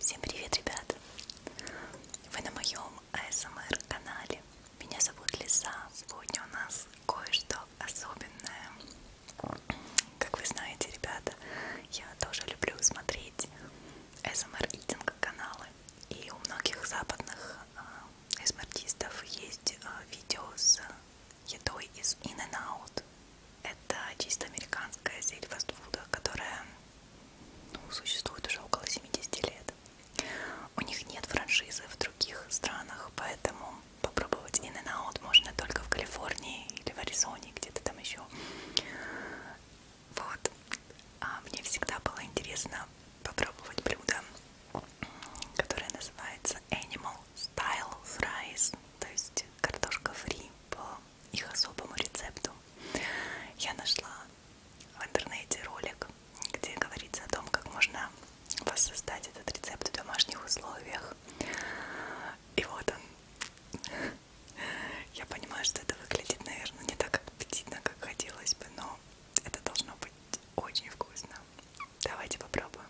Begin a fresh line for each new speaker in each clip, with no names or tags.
Всем привет, ребята! Вы на моем АСМР канале. Меня зовут Лиза. Сегодня у нас кое-что особенное. Как вы знаете, ребята, я тоже люблю смотреть АСМР Eating каналы. И у многих западных а, АСМР-артистов есть а, видео с едой из In and Out. Это чисто американская сеть фастфуда, которая ну, существует уже около 70 лет. У них нет франшизы в других странах, поэтому попробовать in and out можно только в Калифорнии или в Аризоне, где-то там еще. Вот. А мне всегда было интересно попробовать блюдо, которое называется Animal Style Fries, то есть картошка фри по их особому рецепту. Я нашла в интернете ролик, где говорится о том, как можно воссоздать этот рецепт в домашних условиях. И вот он. Я понимаю, что это выглядит, наверное, не так аппетитно, как хотелось бы, но это должно быть очень вкусно. Давайте попробуем.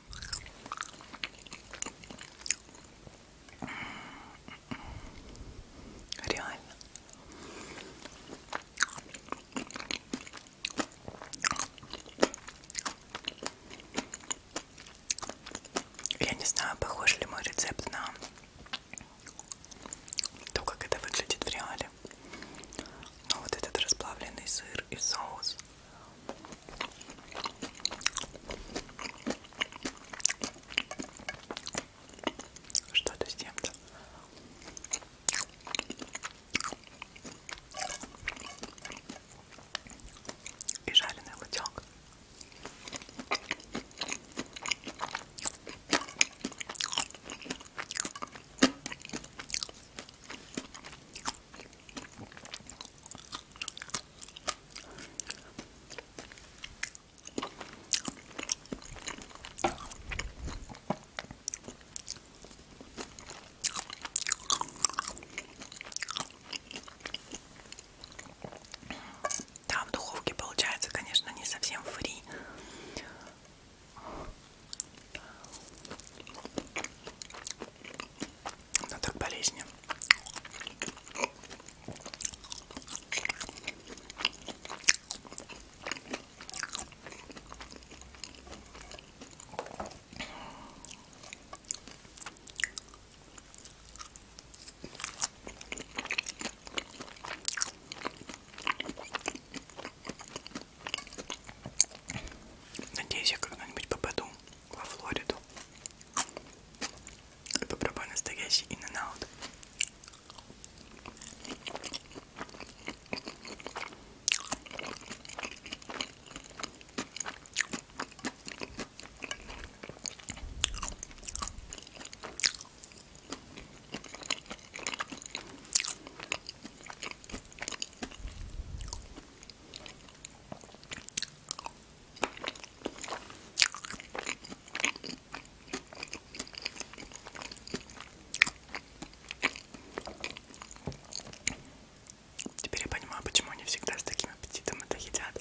М -м Реально. Я не знаю, похож ли мой рецепт на то, как это выглядит в реале. Но вот этот расплавленный сыр и соус что-то с тем-то. И жареный лотёк. Там в духовке получается, конечно, не совсем фри. Но так болезненно. Надеюсь, я когда-нибудь попаду во Флориду. И попробую настоящий in and out. Теперь я понимаю, почему они всегда с таким аппетитом это едят.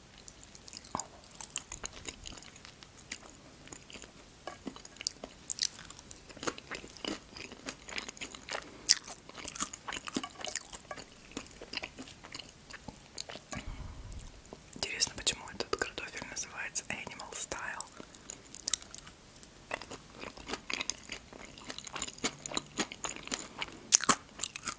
Интересно, почему этот картофель называется Animal Style.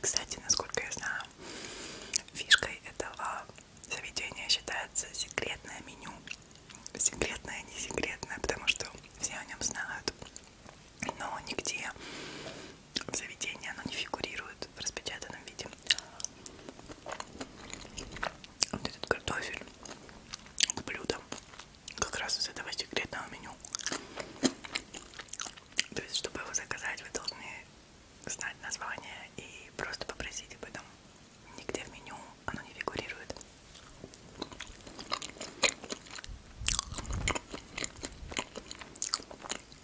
Кстати, насколько я знаю, фишкой этого заведения считается секретное меню. Секретное, не секретное, потому что все о нем знают. Но нигде в заведении оно не фигурирует в распечатанном виде. Вот этот картофель к блюдам как раз из этого секретного меню. То есть, чтобы его заказать, вы должны знать название и просто попросить об этом. Нигде в меню оно не фигурирует.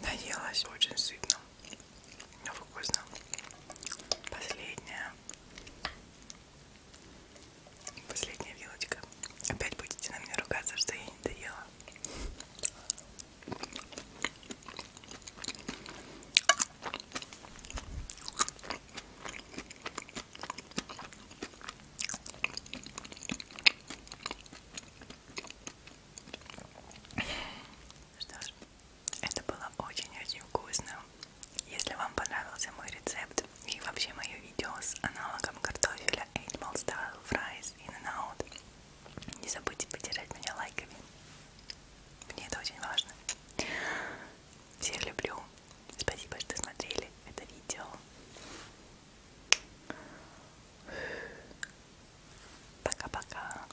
Наелась очень сытно. Ну, вкусно. Последняя. Последняя вилочка. Опять будете на меня ругаться, что я не доела. Что ж, это было очень-очень вкусно. Если вам понравился мой рецепт и вообще мое видео с аналогом картофеля Animal Style Fries In and Out, не забудьте поддержать меня лайками. Мне это очень важно. Всех люблю. Спасибо, что смотрели это видео. Пока-пока.